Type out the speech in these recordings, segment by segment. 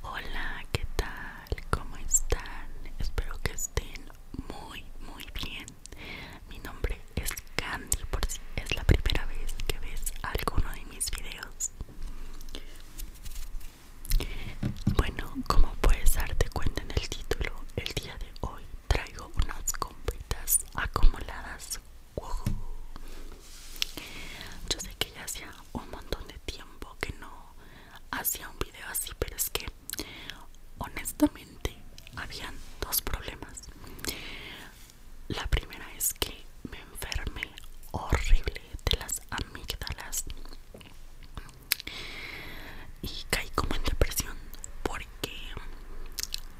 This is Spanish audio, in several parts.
Hola, ¿qué tal? ¿Cómo están? Espero que estén muy, muy bien. Mi nombre es Candy, por si es la primera vez que ves alguno de mis videos. Bueno, como puedes darte cuenta en el título, el día de hoy traigo unas compritas acumuladas. Yo sé que ya hacía un montón de tiempo que no hacía un video así, pero es que honestamente habían dos problemas. La primera es que me enfermé horrible de las amígdalas y caí como en depresión porque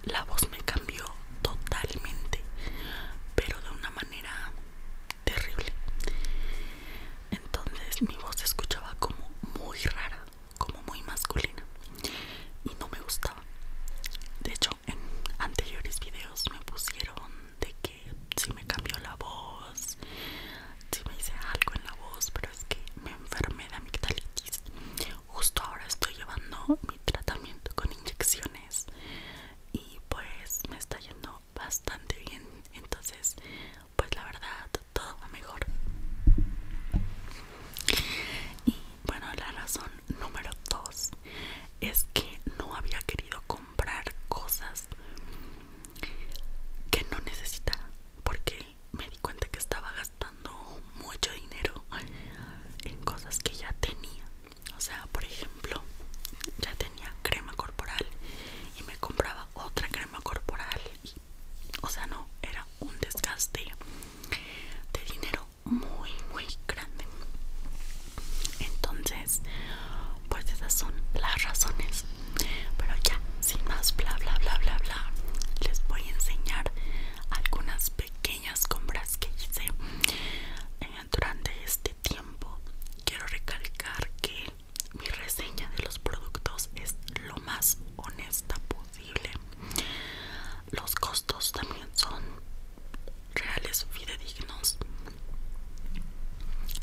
la voz me cambió totalmente, pero de una manera terrible. Entonces mi voz se escuchaba como muy rara, como muy masculina y no me gustaba. De hecho, en anteriores videos me pusieron de que si me cambió la voz, si me hice algo en la voz, pero es que me enfermé de amigdalitis. Justo ahora estoy llevando mi tratamiento con inyecciones y pues me está yendo bastante bien entonces pues la verdad todo va mejor y bueno la razón número dos es que no había querido comprar cosas que no necesitaba porque me di cuenta que estaba gastando mucho dinero en cosas que ya tenía o sea, por ejemplo, ya tenía crema corporal y me compraba otra crema corporal. o sea, no, era un desgaste de dinero muy, muy grande. Entonces, pues esas son las razones. Pero ya, sin más bla, bla, bla, bla, bla, les voy a enseñar algunas pequeñas compras que hice. Eh, durante este tiempo quiero recalcar que mi reseña de los productos es lo más honesta posible. Los costos también son reales, fidedignos.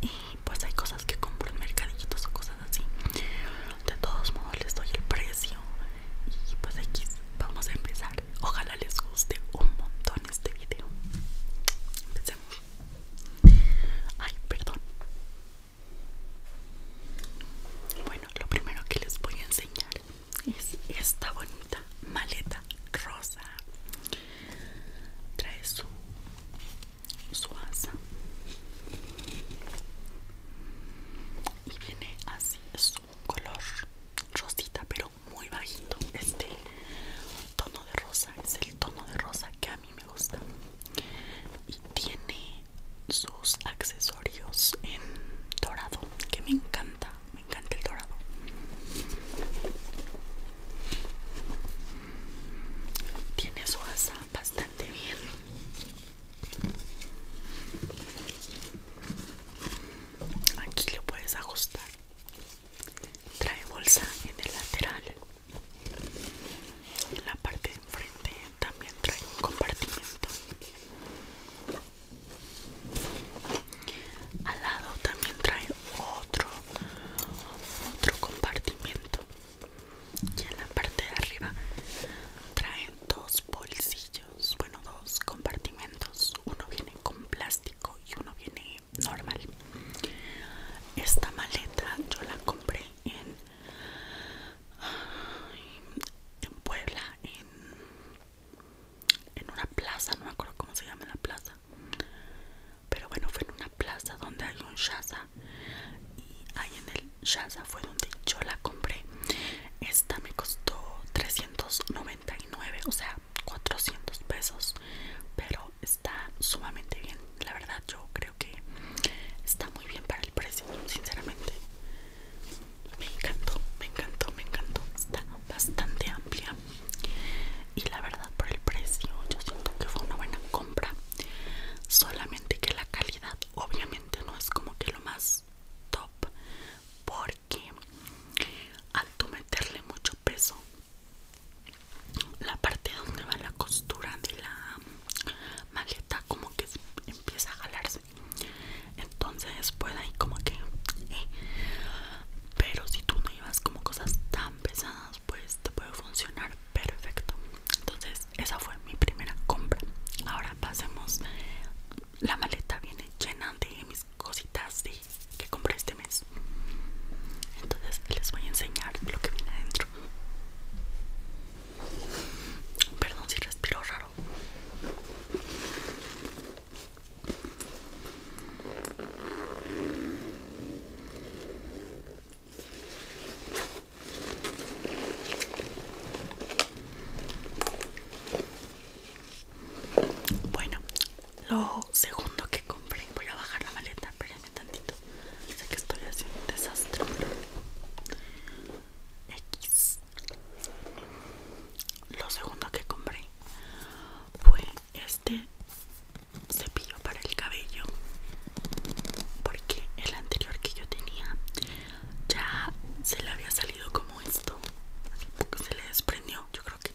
Y pues hay cosas que compro en mercadillitos o cosas así. De todos modos les doy el precio. Y pues aquí vamos a empezar. Ojalá les guste un montón este video. Empecemos. Ay, perdón. Bueno, lo primero que les voy a enseñar es esta bonita maleta rosa. Trae su, su asa y viene así, Su color rosita, pero muy bajito. Este tono de rosa es el tono de rosa que a mí me gusta. Y tiene sus accesorios en dorado, que me encanta, me encanta el dorado. Tiene su asa bastante bien. Aquí lo puedes ajustar trae bolsa en el lateral en la parte de enfrente también trae un compartimento al lado también trae otro otro compartimento y en la parte de arriba trae dos bolsillos bueno dos compartimentos uno viene con plástico y uno viene normal esta maleta yo la compré en en Puebla en, en una plaza no me acuerdo cómo se llama la plaza pero bueno fue en una plaza donde hay un Shaza y ahí en el Shaza fue donde yo la compré esta me costó 390 o sea 400 pesos pero está sumamente bien la verdad yo creo que está muy bien para el precio sinceramente me encantó me encantó me encantó está bastante amplia y la verdad por el precio yo siento que fue una buena compra solamente que la calidad obviamente no es como que lo más top porque al tú meterle mucho peso la parte donde va la costura de la maleta como que empieza a jalarse entonces después pues, ahí como que eh. pero si tú no llevas como cosas tan pesadas pues te puede funcionar perfecto entonces esa fue mi primera compra ahora pasemos la maleta viene llena de mis cositas de, que compré este mes. Entonces les voy a enseñar lo que viene adentro. Perdón si respiro raro. Bueno, lo segundo que compré. Voy a bajar la maleta, espérenme tantito. Sé que estoy haciendo un desastre. X. Lo segundo que compré fue este cepillo para el cabello. Porque el anterior que yo tenía ya se le había salido como esto. Se le desprendió. Yo creo que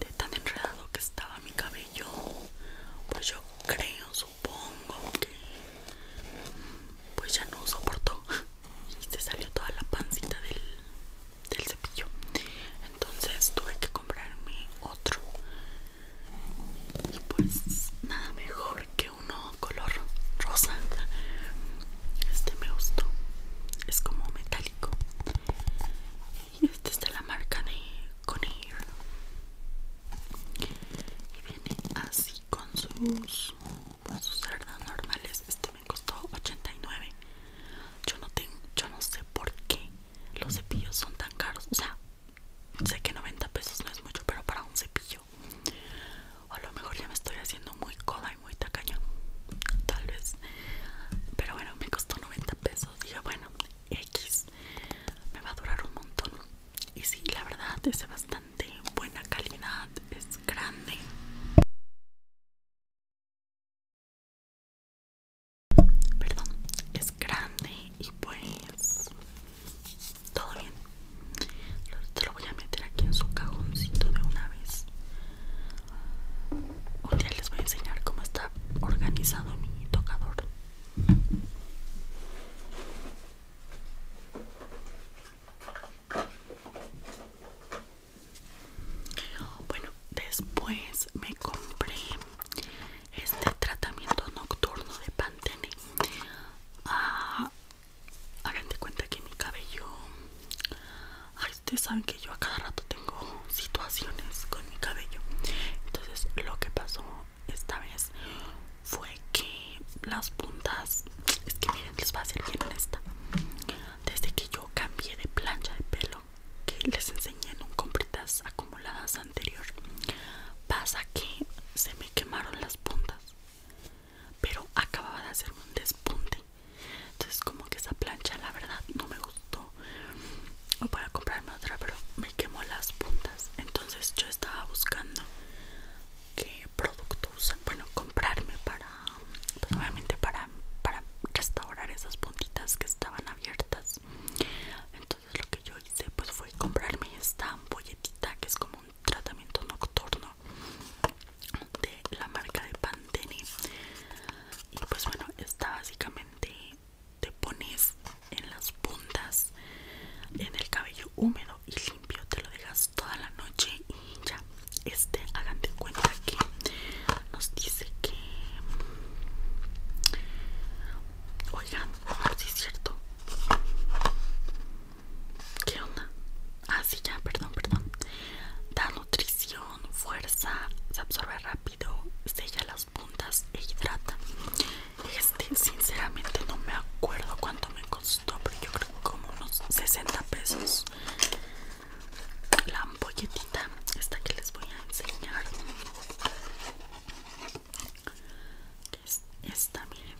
de tan enredado que estaba mi cabello pues yo creo supongo que mm, pues ya no soportó y se salió toda la pancita del, del cepillo entonces tuve que comprarme otro y pues nada mejor que uno color rosa este me gustó es como metálico y este es de la marca de Conair y viene así con sus cerdas normales este me costó 89 yo no tengo yo no sé por qué los cepillos son tan caros o sea sé que 90 pesos no es mucho pero para un cepillo o a lo mejor ya me estoy haciendo muy coda y muy tacaña tal vez pero bueno me costó 90 pesos bueno, X me va a durar un montón. Y sí, la verdad es de bastante buena calidad, es grande. Perdón, es grande y pues todo bien. Te lo voy a meter aquí en su cajoncito de una vez. Hoy día les voy a enseñar cómo está organizado mi tocador bueno después me compré este tratamiento nocturno de Pantene ah, hagan de cuenta que mi cabello ustedes saben que yo a cada rato tengo situaciones con mi cabello. Entonces lo que pasó esta vez fue que las puntas, es que miren, les va a ser bien honesta. Desde que yo cambié de plancha de pelo, que les enseñé en un compritas acumuladas anterior, pasa que se me quemaron las puntas. Pero acababa de hacerme un despunte. Entonces como que esa plancha la verdad no me gustó o para comprarme otra pero me quemó las puntas entonces yo estaba buscando qué producto usar bueno comprarme para pues, obviamente para para restaurar esas puntitas que estaban abiertas entonces lo que yo hice pues fue comprarme esta ampolletita que es como un tratamiento nocturno de la marca de Pantene y pues bueno está básicamente te pones en las puntas, en el cabello húmedo y limpio, te lo dejas toda la noche y ya. Este, hagan cuenta que nos dice que. Oigan, si es cierto. ¿Qué onda? Así ah, ya, perdón, perdón. Da nutrición, fuerza, se absorbe rápido, sella las puntas e hidrata. Este, sinceramente, no me acuerdo cuánto me costó, pero yo creo que como unos 60 pesos. La ampolletita, esta que les voy a enseñar, que es esta, miren.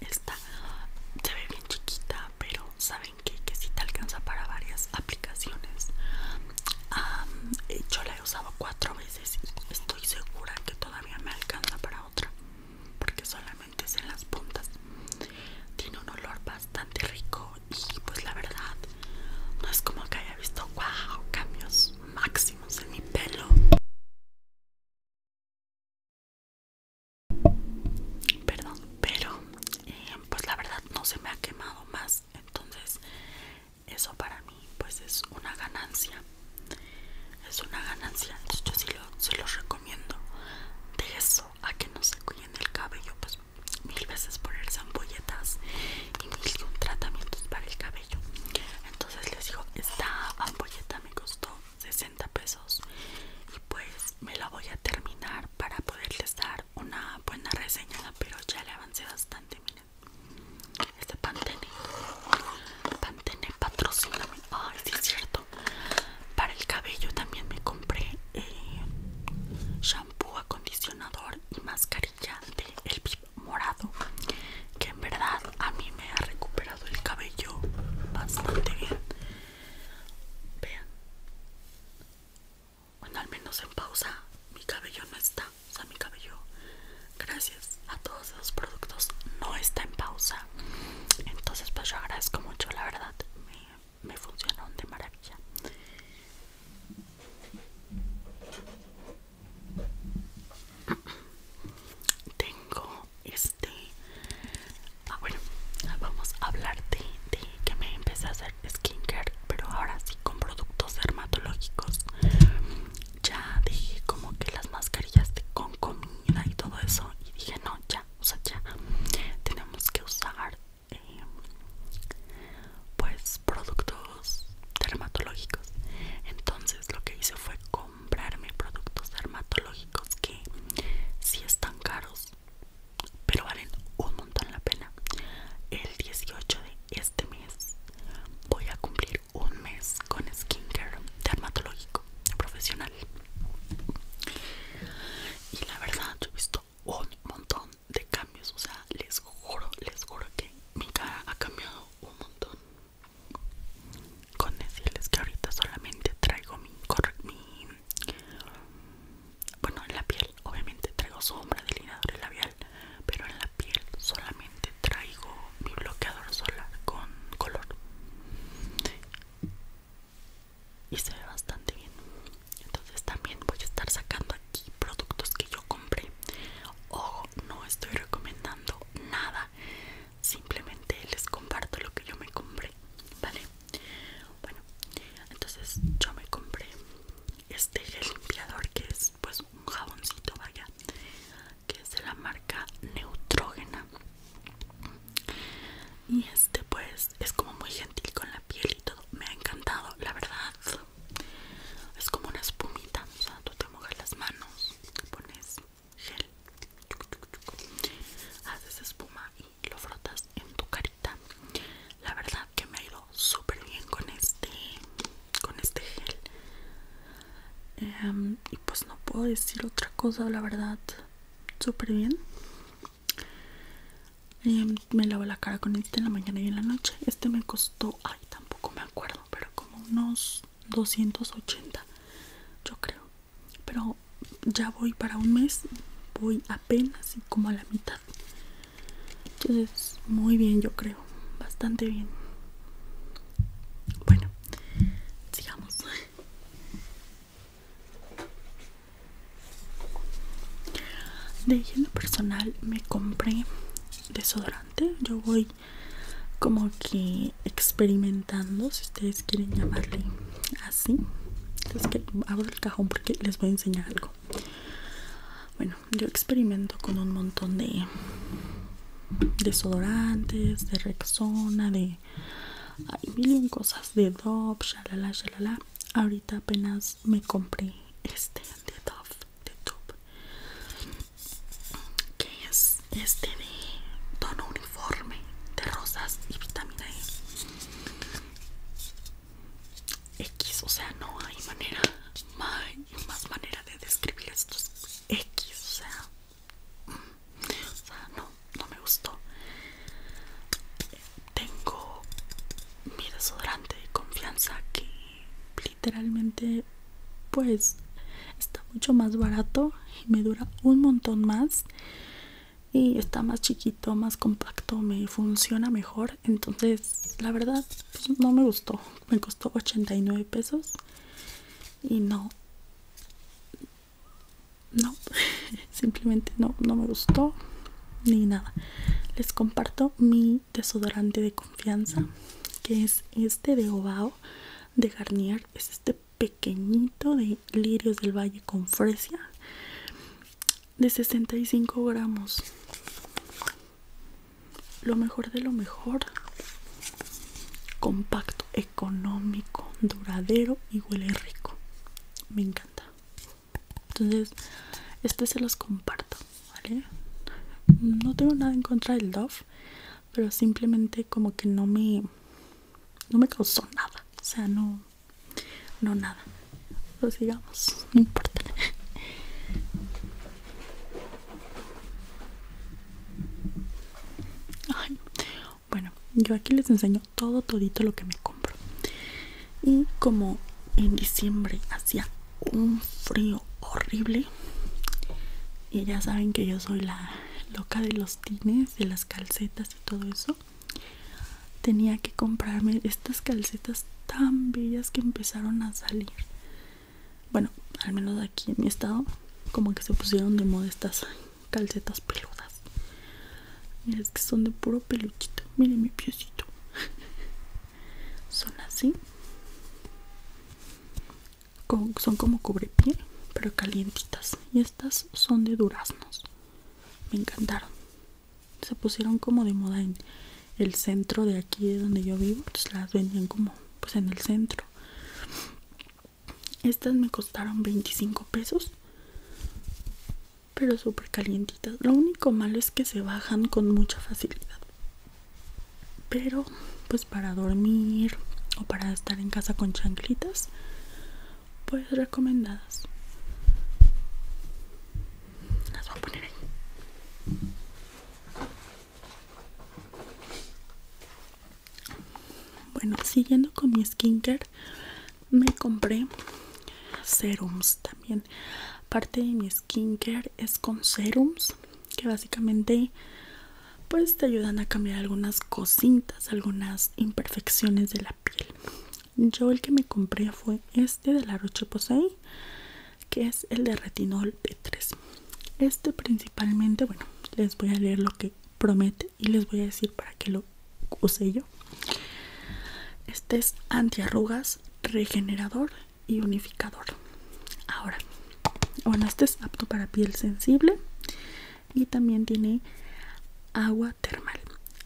Esta se ve bien chiquita, pero sabe que, si te alcanza para varias aplicaciones. yo la he usado cuatro veces y estoy segura que todavía me alcanza para otra, porque solamente es en las puntas. Tiene un olor bastante rico y pues la verdad no es como que haya visto cambios máximos en mi pelo. Perdón, pero eh, pues la verdad no se me ha quemado más. Entonces eso para mí pues es una ganancia. Es una ganancia. Yo sí, lo, los recomiendo. De eso a que no se cuiden el cabello. Pues mil veces ponerse ampolletas y mil tratamientos para el cabello. Entonces les digo, esta ampolleta me costó 60 pesos y pues me la voy a terminar para poderles dar una buena reseña, pero ya le avancé bastante, miren. Este Pantene. Pantene patrocíname. Ay, sí es cierto. Para el cabello también me compré eh, shampoo, acondicionador y mascarilla de El Pip morado. Que en verdad a mí me ha recuperado el cabello bastante bien. Vean bueno al menos en pausa mi cabello no está o sea mi cabello gracias a todos esos productos no está en pausa entonces pues yo agradezco mucho la verdad me, me de maravilla tengo este Ah, bueno, ah, vamos a hablar de, que me empecé a hacer skincare, pero ahora sí con productos dermatológicos. Ya dije como que las mascarillas de, con comida y todo eso, y dije no, ya, o sea, ya tenemos que usar em, pues productos dermatológicos. Entonces lo que hice fue comprarme productos dermatológicos que sí están caros pero valen un montón la pena. El 18 de este mes voy a cumplir un mes con skincare dermatológico profesional. Y la verdad, yo he visto un montón de cambios. O sea, les juro, les juro que mi cara ha cambiado un montón. Con decirles que ahorita solamente traigo mi, mi bueno en la piel obviamente traigo sombra delineador y labial pero en la piel solamente traigo mi bloqueador solar con color y se ve bastante bien entonces también voy a estar sacando aquí productos que yo compré ojo no estoy recomendando nada simplemente les comparto lo que yo me compré vale bueno, entonces yo me compré este gel limpiador que es pues un jaboncito, vaya, que es de la marca Neutrógena. Y este pues es como muy gentil con la piel y todo. Me ha encantado, la verdad. Es como una espumita, o sea, tú te mojas las manos, pones gel, haces espuma lo frotas en tu carita. La verdad que me ha ido súper bien con este con este gel. Em, y pues no puedo decir otra cosa, la verdad, súper bien. Em, me lavo la cara con este en la mañana y en la noche. Este me costó, ay, tampoco me acuerdo, pero como unos 280, yo creo. Pero ya voy para un mes, voy apenas y como a la mitad entonces muy bien yo creo bastante bien bueno sigamos de ahí personal me compré desodorante yo voy como que experimentando si ustedes quieren llamarle así entonces que abro el cajón porque les voy a enseñar algo bueno, yo experimento con un montón de desodorantes, de Rexona, de hay mil un cosas de Dove, shalala, shalala. Ahorita apenas me compré este de Dove, de Dove, que es este de tono uniforme de rosas y vitamina E. X, o sea, no hay manera, más manera de describir esto. X, o sea, no, no me gustó. Tengo mi desodorante de confianza que literalmente, pues, está mucho más barato y me dura un montón más y está más chiquito, más compacto, me funciona mejor. Entonces, la verdad, pues, no me gustó. Me costó 89 pesos y no. No, simplemente no, no me gustó ni nada. Les comparto mi desodorante de confianza, que es este de Obao de Garnier. Es este pequeñito de lirios del valle con fresia de 65 gramos lo mejor de lo mejor compacto económico duradero y huele rico me encanta entonces este se los comparto vale no tengo nada en contra del Dove pero simplemente como que no me no me causó nada o sea no no nada lo sigamos no importa bueno yo aquí les enseño todo todito lo que me compro y como en diciembre hacía un frío horrible y ya saben que yo soy la loca de los tines de las calcetas y todo eso tenía que comprarme estas calcetas tan bellas que empezaron a salir bueno al menos aquí en mi estado como que se pusieron de moda estas calcetas peludas mira es que son de puro peluchito miren mi piecito son así son como cubrepiel pero calientitas y estas son de duraznos me encantaron se pusieron como de moda en el centro de aquí de donde yo vivo pues las vendían como pues en el centro estas me costaron 25 pesos pero súper calientitas lo único malo es que se bajan con mucha facilidad pero pues para dormir o para estar en casa con chanclitas pues recomendadas las voy a poner ahí. Bueno, siguiendo con mi skincare, me compré serums también. Parte de mi skincare es con serums que básicamente pues te ayudan a cambiar algunas cositas, algunas imperfecciones de la piel yo el que me compré fue este de la Roche Posay que es el de retinol P3 este principalmente bueno les voy a leer lo que promete y les voy a decir para qué lo usé yo este es antiarrugas regenerador y unificador ahora bueno este es apto para piel sensible y también tiene agua termal.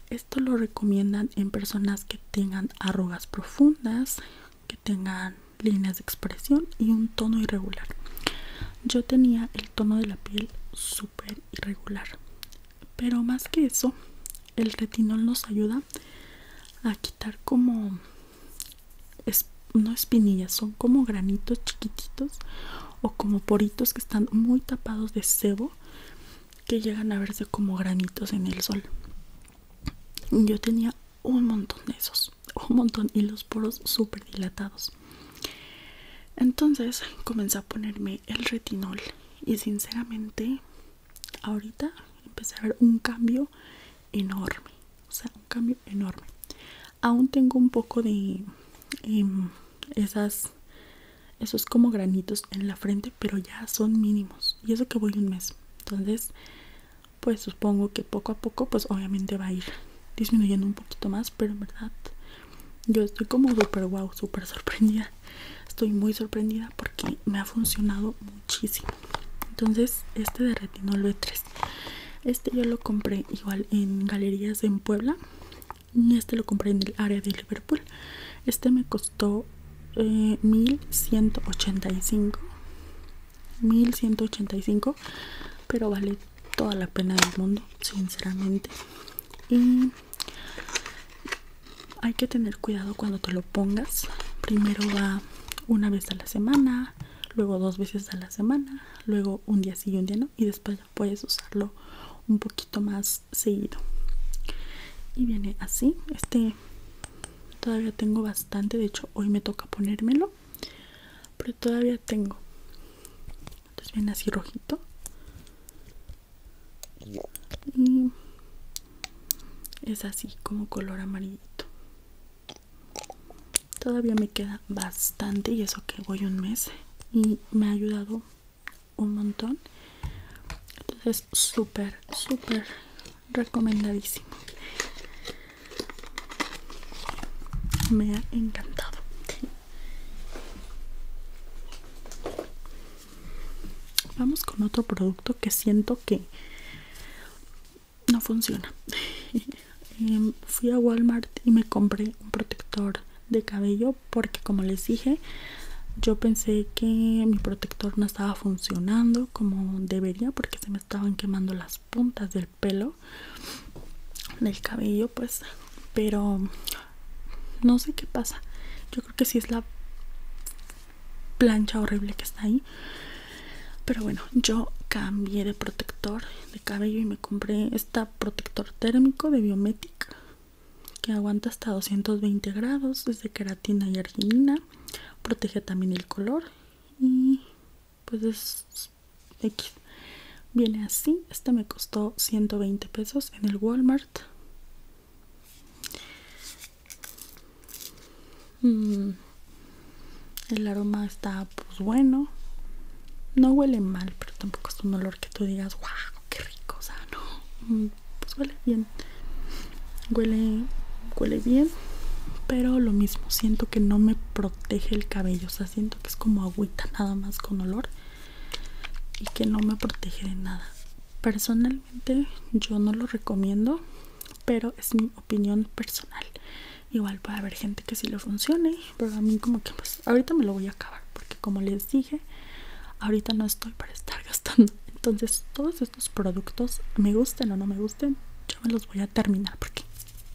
Esto lo recomiendan en personas que tengan arrugas profundas, que tengan líneas de expresión y un tono irregular. Yo tenía el tono de la piel súper irregular, pero más que eso, el retinol nos ayuda a quitar como no espinillas, son como granitos chiquititos o como poritos que están muy tapados de sebo que llegan a verse como granitos en el sol. Yo tenía un montón de esos, un montón y los poros súper dilatados. Entonces comencé a ponerme el retinol y sinceramente ahorita empecé a ver un cambio enorme, o sea, un cambio enorme. Aún tengo un poco de em, esas eso es como granitos en la frente, pero ya son mínimos. Y eso que voy un mes. Entonces, pues supongo que poco a poco, pues obviamente va a ir disminuyendo un poquito más, pero en verdad yo estoy como súper wow, súper sorprendida. Estoy muy sorprendida porque me ha funcionado muchísimo. Entonces, este de retinol B3. Este yo lo compré igual en galerías en Puebla. Y este lo compré en el área de Liverpool. Este me costó 1185 eh, 1185 pero vale toda la pena del mundo sinceramente y hay que tener cuidado cuando te lo pongas primero va una vez a la semana luego dos veces a la semana luego un día sí y un día no y después puedes usarlo un poquito más seguido y viene así este todavía tengo bastante de hecho hoy me toca ponérmelo pero todavía tengo entonces viene así rojito y es así como color amarillito todavía me queda bastante y eso que voy un mes y me ha ayudado un montón es súper súper recomendadísimo me ha encantado vamos con otro producto que siento que no funciona em, fui a Walmart y me compré un protector de cabello porque como les dije yo pensé que mi protector no estaba funcionando como debería porque se me estaban quemando las puntas del pelo del cabello pues pero no sé qué pasa yo creo que sí es la plancha horrible que está ahí pero bueno yo cambié de protector de cabello y me compré este protector térmico de Biometic que aguanta hasta 220 grados es de queratina y arginina protege también el color y pues es X viene así este me costó 120 pesos en el Walmart mm, el aroma está pues bueno no huele mal pero tampoco es un olor que tú digas wow qué rico, o mm, pues huele bien, huele, huele bien, pero lo mismo, siento que no me protege el cabello, o sea, siento que es como agüita nada más con olor y que no me protege de nada. Personalmente yo no lo recomiendo, pero es mi opinión personal. Igual puede haber gente que sí le funcione, pero a mí como que pues ahorita me lo voy a acabar porque como les dije ahorita no estoy para estar gastando entonces todos estos productos me gusten o no me gusten yo me los voy a terminar porque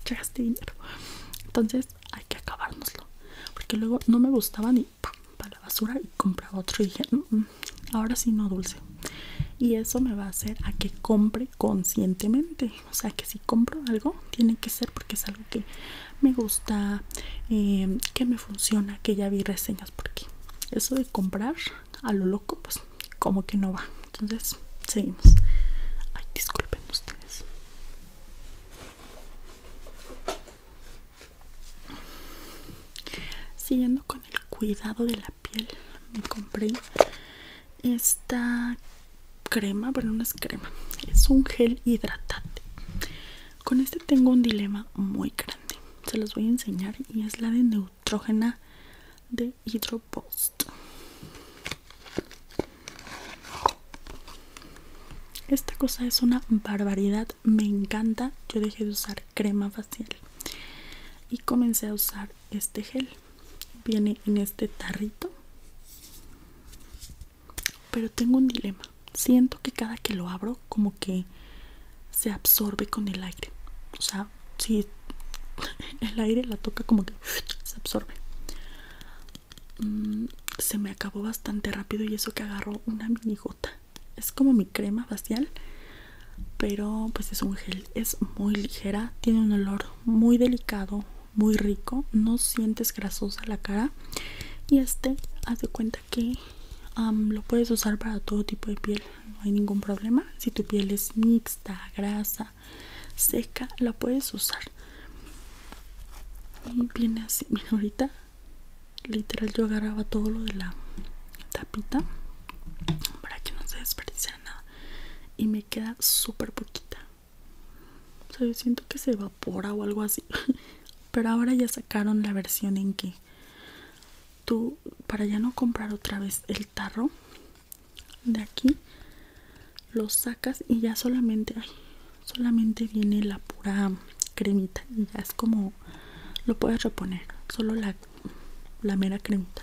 ya gasté dinero entonces hay que acabárnoslo porque luego no me gustaba ni para la basura y compraba otro y dije mm, mm, ahora sí no dulce y eso me va a hacer a que compre conscientemente o sea que si compro algo tiene que ser porque es algo que me gusta eh, que me funciona que ya vi reseñas porque eso de comprar a lo loco pues como que no va entonces seguimos ay disculpen ustedes siguiendo con el cuidado de la piel me compré esta crema bueno no es crema es un gel hidratante con este tengo un dilema muy grande se los voy a enseñar y es la de neutrógena de hidropost esta cosa es una barbaridad me encanta yo dejé de usar crema facial y comencé a usar este gel viene en este tarrito pero tengo un dilema Siento que cada que lo abro como que se absorbe con el aire. O sea, si el aire la toca como que se absorbe. Mm, se me acabó bastante rápido y eso que agarró una mini gota. Es como mi crema facial, pero pues es un gel. Es muy ligera, tiene un olor muy delicado, muy rico. No sientes grasosa la cara. Y este, hace cuenta que lo puedes usar para todo tipo de piel no hay ningún problema si tu piel es mixta grasa seca la puedes usar y viene así mira ahorita literal yo agarraba todo lo de la tapita para que no se desperdicie nada y me queda súper poquita siento que se evapora o algo así pero ahora ya sacaron la versión en que tú para ya no comprar otra vez el tarro de aquí lo sacas y ya solamente solamente viene la pura cremita y ya es como lo puedes reponer solo la, la mera cremita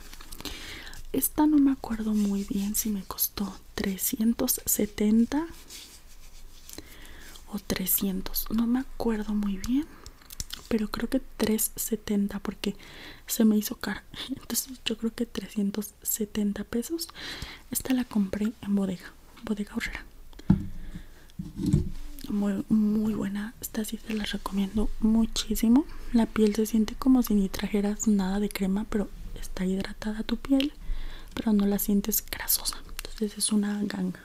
esta no me acuerdo muy bien si me costó 370 o 300 no me acuerdo muy bien pero creo que 370 porque se me hizo cara entonces yo creo que 370 pesos esta la compré en bodega bodega horrera muy, muy buena esta sí se la recomiendo muchísimo la piel se siente como si ni trajeras nada de crema pero está hidratada tu piel pero no la sientes grasosa entonces es una ganga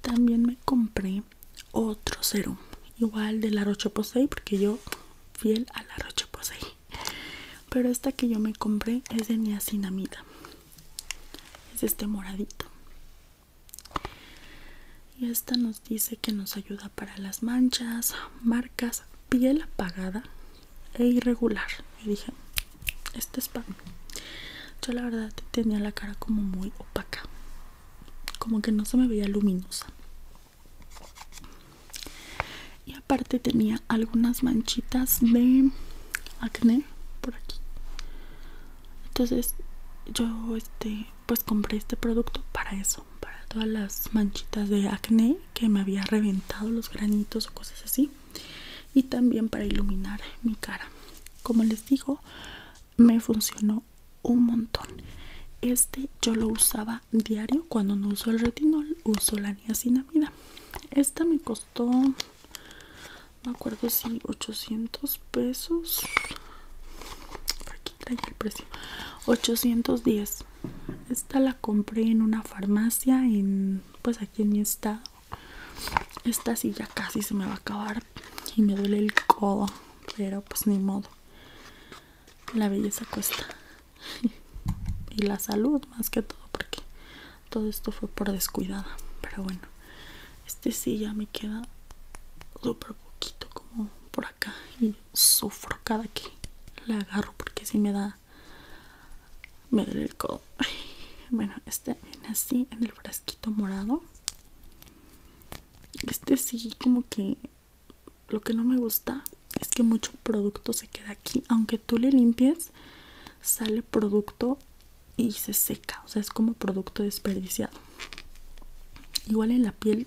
también me compré otro serum, igual del la Roche porque yo fiel al la Roche Pero esta que yo me compré es de niacinamida. Es este moradito. Y esta nos dice que nos ayuda para las manchas, marcas, piel apagada, e irregular. me dije, este es spam. Yo la verdad tenía la cara como muy opaca. Como que no se me veía luminosa. Y aparte tenía algunas manchitas de acné por aquí. Entonces yo este pues compré este producto para eso, para todas las manchitas de acné que me había reventado los granitos o cosas así y también para iluminar mi cara como les digo me funcionó un montón este yo lo usaba diario cuando no uso el retinol uso la niacinamida esta me costó no acuerdo si 800 pesos aquí trae el precio 810 esta la compré en una farmacia en pues aquí en mi estado esta silla casi se me va a acabar y me duele el codo, pero pues ni modo. La belleza cuesta. y la salud más que todo, porque todo esto fue por descuidada. Pero bueno, este silla me queda súper poquito como por acá y sufro cada que la agarro porque si me da me duele el bueno este viene así en el frasquito morado este sí como que lo que no me gusta es que mucho producto se queda aquí aunque tú le limpies sale producto y se seca o sea es como producto desperdiciado igual en la piel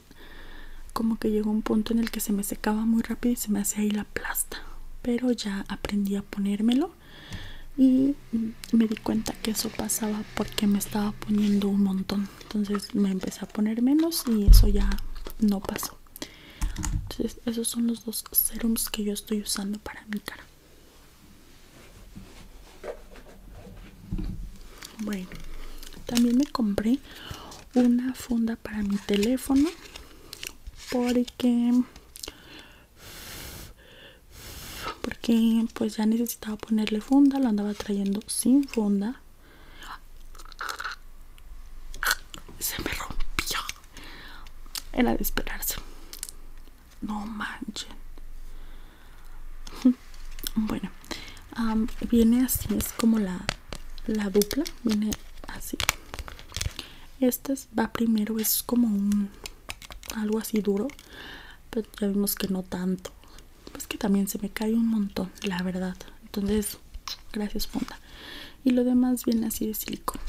como que llegó un punto en el que se me secaba muy rápido y se me hacía ahí la plasta pero ya aprendí a ponérmelo y me di cuenta que eso pasaba porque me estaba poniendo un montón entonces me empecé a poner menos y eso ya no pasó entonces esos son los dos serums que yo estoy usando para mi cara bueno también me compré una funda para mi teléfono porque porque pues ya necesitaba ponerle funda lo andaba trayendo sin funda se me rompió era de esperarse no manchen bueno viene así es como la la dupla viene así esta va primero es como un algo así duro pero ya vimos que no tanto pues que también se me cae un montón la verdad entonces gracias funda y lo demás viene así de silicón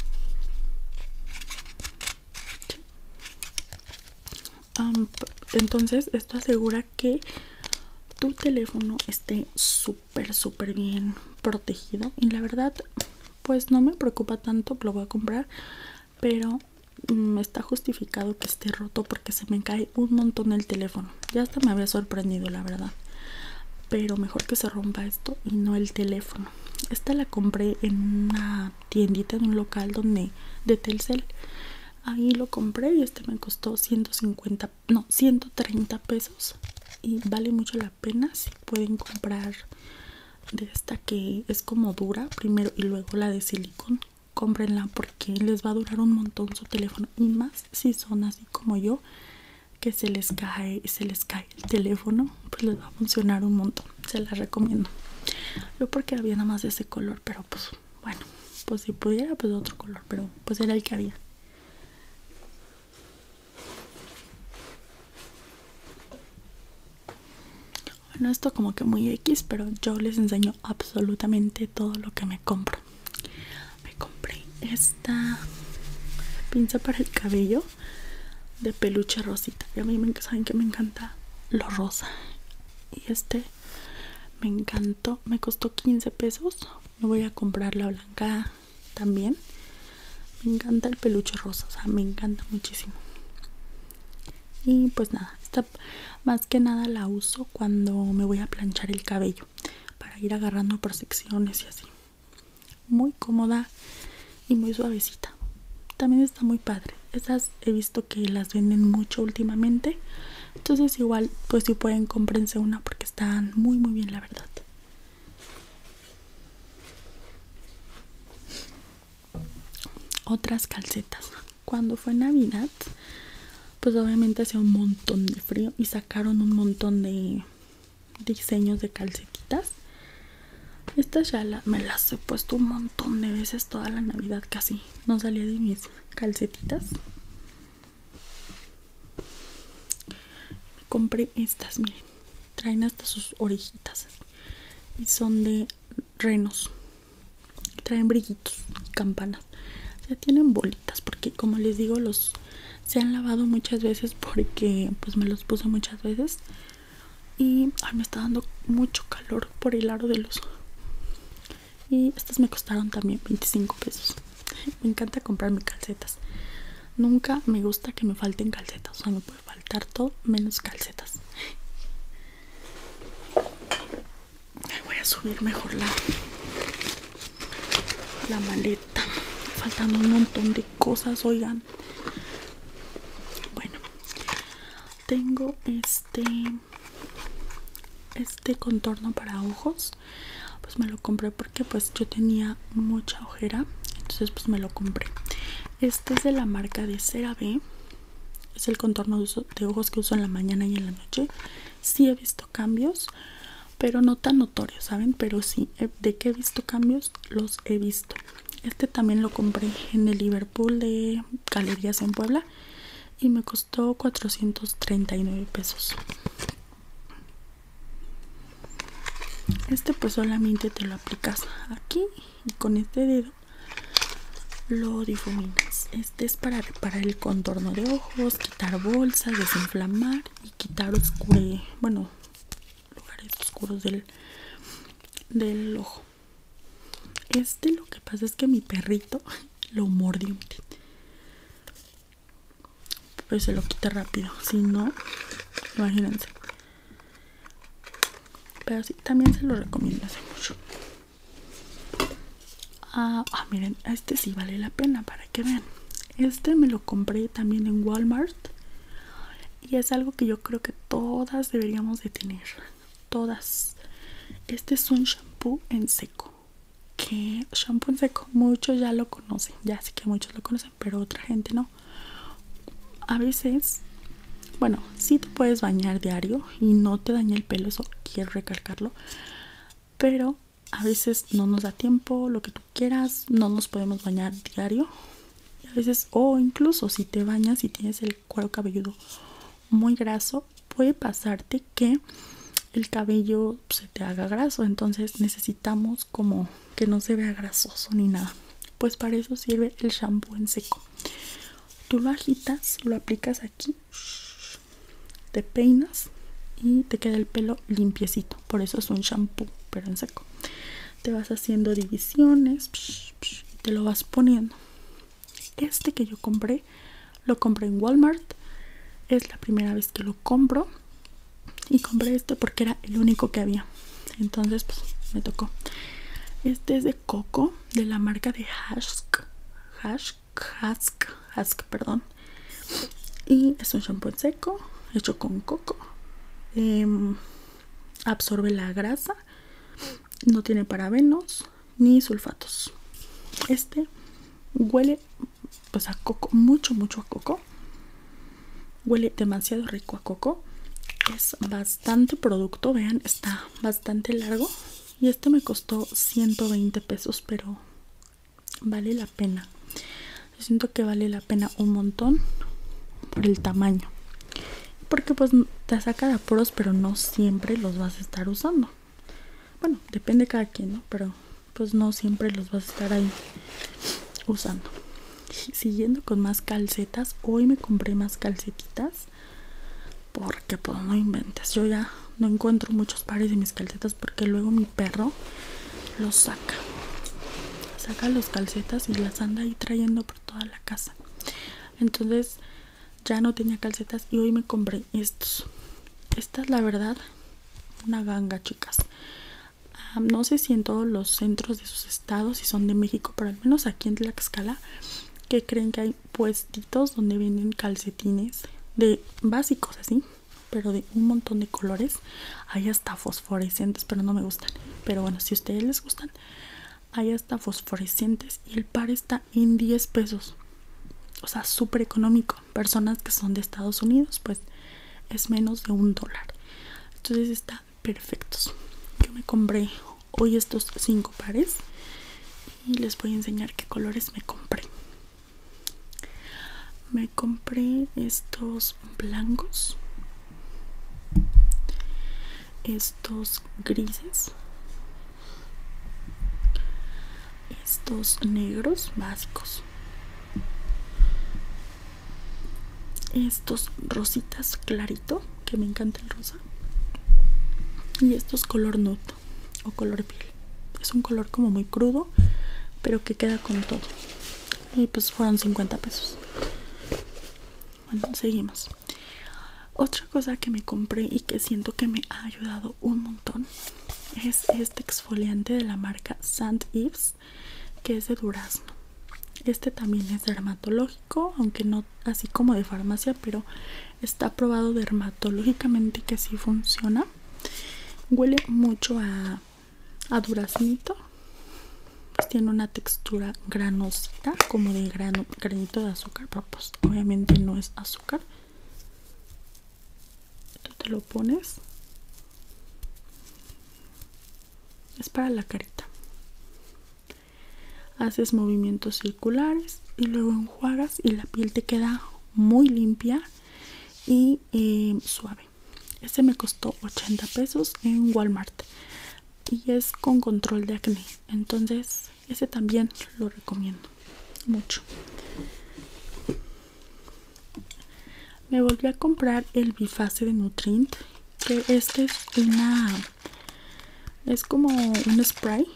entonces esto asegura que tu teléfono esté súper súper bien protegido y la verdad pues no me preocupa tanto lo voy a comprar pero mm, está justificado que esté roto porque se me cae un montón el teléfono ya hasta me había sorprendido la verdad pero mejor que se rompa esto y no el teléfono esta la compré en una tiendita en un local donde de telcel ahí lo compré y este me costó 150 no 130 pesos y vale mucho la apenas si pueden comprar de esta que es como dura primero y luego la de silicón cómprenla porque les va a durar un montón su teléfono y más si son así como yo que se les cae se les cae el teléfono pues les va a funcionar un montón se las recomiendo yo porque había nada más de ese color pero pues bueno pues si pudiera pues otro color pero pues era el que había bueno, esto como que muy X, pero yo les enseño absolutamente todo lo que me compro. Me compré esta pinza para el cabello de peluche rosita. Y a mí me, saben que me encanta lo rosa. Y este me encantó, me costó 15 pesos. Me voy a comprar la blanca también. Me encanta el peluche rosa, me encanta muchísimo. Y pues nada, esta más que nada la uso cuando me voy a planchar el cabello para ir agarrando por secciones y así. Muy cómoda y muy suavecita. También está muy padre. Esas he visto que las venden mucho últimamente. Entonces igual pues si pueden Comprense una porque están muy muy bien la verdad. Otras calcetas. Cuando fue Navidad, pues obviamente hacía un montón de frío y sacaron un montón de diseños de calcetitas. Estas ya me las he puesto un montón de veces toda la Navidad casi. No salía de mis calcetitas. compré estas, miren traen hasta sus orejitas y son de renos traen brillitos y campanas ya tienen bolitas porque como les digo los se han lavado muchas veces porque pues me los puse muchas veces y me está dando mucho calor por el lado de los. y estas me costaron también 25 pesos me encanta comprarme calcetas nunca me gusta que me falten calcetas o sea faltar todo menos calcetas voy a subir mejor la la maleta faltan un montón de cosas oigan bueno tengo este este contorno para ojos pues me lo compré porque pues yo tenía mucha ojera entonces pues me lo compré este es de la marca de CeraVe. Es el contorno de ojos que uso en la mañana y en la noche. Sí he visto cambios, pero no tan notorios, ¿saben? Pero sí, de que he visto cambios, los he visto. Este también lo compré en el Liverpool de Galerías en Puebla y me costó 439 pesos. Este pues solamente te lo aplicas aquí y con este dedo lo difuminas. Este es para reparar el contorno de ojos, quitar bolsas, desinflamar y quitar oscure, bueno, lugares oscuros del, ojo. Este lo que pasa es que mi perrito lo mordió. pues se lo quita rápido. Si no, imagínense. Pero sí, también se lo recomiendo hace mucho. Ah, ah miren, este sí vale la pena para que vean. Este me lo compré también en Walmart. Y es algo que yo creo que todas deberíamos de tener. Todas. Este es un shampoo en seco. que Shampoo en seco. Muchos ya lo conocen. Ya sé que muchos lo conocen pero otra gente no. A veces, bueno, si te puedes bañar diario y no te daña el pelo, eso quiero recalcarlo, pero a veces no nos da tiempo, lo que tú quieras, no nos podemos bañar diario. a veces, o incluso si te bañas y tienes el cuero cabelludo muy graso, puede pasarte que el cabello se te haga graso entonces necesitamos como que no se vea grasoso ni nada. Pues para eso sirve el shampoo en seco. Tú lo agitas, lo aplicas aquí, te peinas y te queda el pelo limpiecito. Por eso es un shampoo, pero en seco. Te vas haciendo divisiones y te lo vas poniendo. Este que yo compré, lo compré en Walmart. Es la primera vez que lo compro y compré este porque era el único que había entonces pues, me tocó este es de coco de la marca de Hask Hask Hask Hask perdón y es un shampoo seco hecho con coco em, absorbe la grasa no tiene parabenos ni sulfatos este huele pues a coco mucho mucho a coco Huele demasiado rico a coco. Es bastante producto, vean, está bastante largo. Y este me costó 120 pesos, pero vale la pena. siento que vale la pena un montón por el tamaño. Porque pues te saca de apuros, pero no siempre los vas a estar usando. Bueno, depende cada quien, Pero pues no siempre los vas a estar ahí usando siguiendo con más calcetas hoy me compré más calcetitas porque pues no inventes yo ya no encuentro muchos pares de mis calcetas porque luego mi perro los saca saca los calcetas y las anda ahí trayendo por toda la casa entonces ya no tenía calcetas y hoy me compré estos estas la verdad una ganga chicas Ah, no sé si en todos los centros de sus estados, si son de México, pero al menos aquí en Tlaxcala, que creen que hay puestitos donde vienen calcetines de básicos así, pero de un montón de colores. Hay hasta fosforescentes, pero no me gustan. Pero bueno, si a ustedes les gustan, hay hasta fosforescentes y el par está en 10 pesos. O sea, súper económico. Personas que son de Estados Unidos, pues es menos de un dólar. Entonces está perfectos yo me compré hoy estos cinco pares y les voy a enseñar qué colores me compré me compré estos blancos estos grises estos negros básicos estos rositas clarito que me encanta el rosa y estos color nude o color piel es un color como muy crudo pero que queda con todo y pues fueron 50 pesos bueno seguimos otra cosa que me compré y que siento que me ha ayudado un montón es este exfoliante de la marca Sand Eves que es de durazno. Este también es dermatológico, aunque no así como de farmacia, pero está probado dermatológicamente que sí funciona. Huele mucho a, a duraznito. Pues tiene una textura granosita, como de grano, granito de azúcar, pero pues, obviamente no es azúcar. Tú te lo pones es para la careta, haces movimientos circulares y luego enjuagas y la piel te queda muy limpia y eh, suave Ese me costó 80 pesos en walmart y es con control de acné entonces ese también lo recomiendo mucho me volví a comprar el bifase de nutrient que este es una es como un spray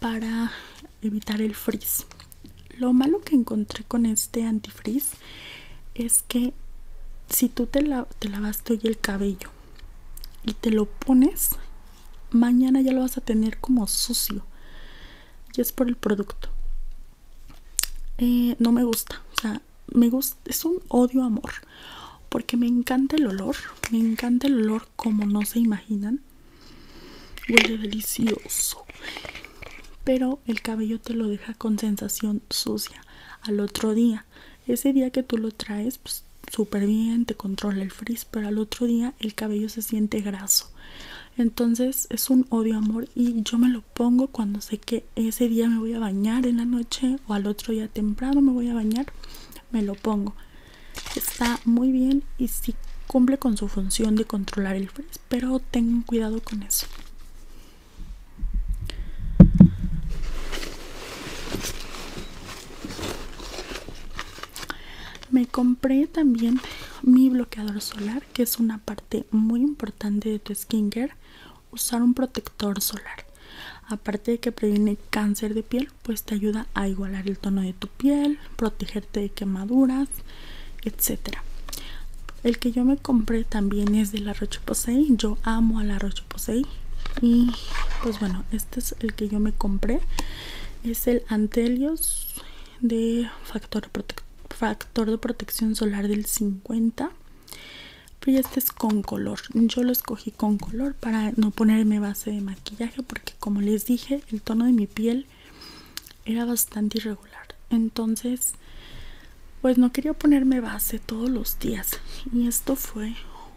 para evitar el frizz lo malo que encontré con este antifrizz es que si tú te, la, te lavaste hoy el cabello y te lo pones mañana ya lo vas a tener como sucio y es por el producto eh, no me gusta o sea me gusta, es un odio amor, porque me encanta el olor, me encanta el olor como no se imaginan. Huele delicioso. Pero el cabello te lo deja con sensación sucia al otro día. Ese día que tú lo traes, pues, súper bien, te controla el frizz, pero al otro día el cabello se siente graso. Entonces es un odio amor y yo me lo pongo cuando sé que ese día me voy a bañar en la noche o al otro día temprano me voy a bañar, me lo pongo. Está muy bien y si cumple con su función de controlar el frizz, pero tengan cuidado con eso. Me compré también mi bloqueador solar, que es una parte muy importante de tu skincare usar un protector solar aparte de que previene cáncer de piel pues te ayuda a igualar el tono de tu piel protegerte de quemaduras etcétera el que yo me compré también es de la Roche Posay yo amo a la Roche Posay y pues bueno este es el que yo me compré es el Antelios de factor, factor de protección solar del 50 pero este es con color yo lo escogí con color para no ponerme base de maquillaje porque como les dije el tono de mi piel era bastante irregular entonces pues no quería ponerme base todos los días y esto fue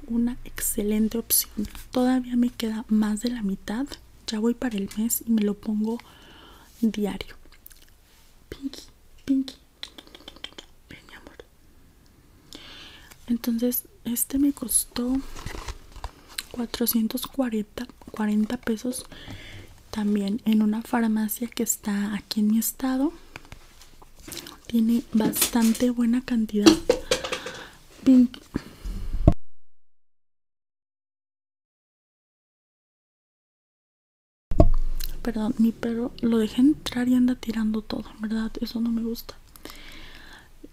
una excelente opción todavía me queda más de la mitad ya voy para el mes y me lo pongo diario pinky pinky entonces, este me costó 440 40 pesos también en una farmacia que está aquí en mi estado. Tiene bastante buena cantidad. Perdón, mi perro lo dejé entrar y anda tirando todo, ¿verdad? Eso no me gusta.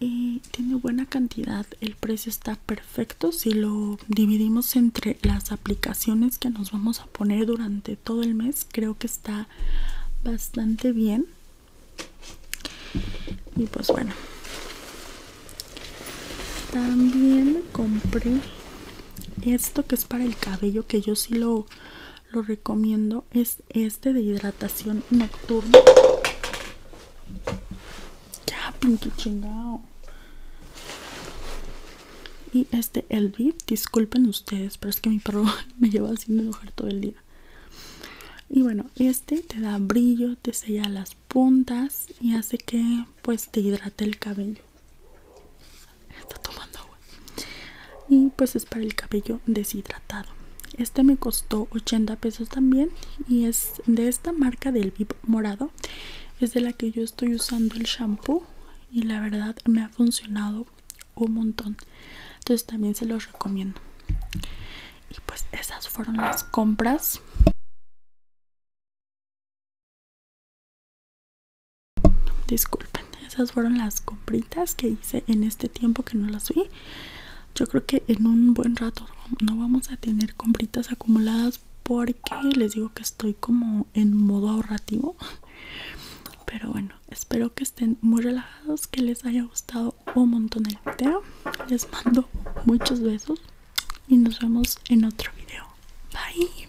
Y tiene buena cantidad, el precio está perfecto. Si lo dividimos entre las aplicaciones que nos vamos a poner durante todo el mes, creo que está bastante bien. Y pues bueno. También compré esto que es para el cabello, que yo sí lo lo recomiendo es este de hidratación nocturna ya pinche chingado y este el VIP, disculpen ustedes pero es que mi perro me lleva haciendo mujer todo el día y bueno este te da brillo te sella las puntas y hace que pues te hidrate el cabello Está tomando agua. Y pues es para el cabello deshidratado. Este me costó 80 pesos también. Y es de esta marca del VIP morado. Es de la que yo estoy usando el shampoo. Y la verdad me ha funcionado un montón. Entonces también se los recomiendo. Y pues esas fueron las compras. Disculpen, esas fueron las compritas que hice en este tiempo que no las vi. Yo creo que en un buen rato no vamos a tener compritas acumuladas porque les digo que estoy como en modo ahorrativo. Pero bueno, espero que estén muy relajados, que les haya gustado un montón el video. Les mando muchos besos y nos vemos en otro video. Bye.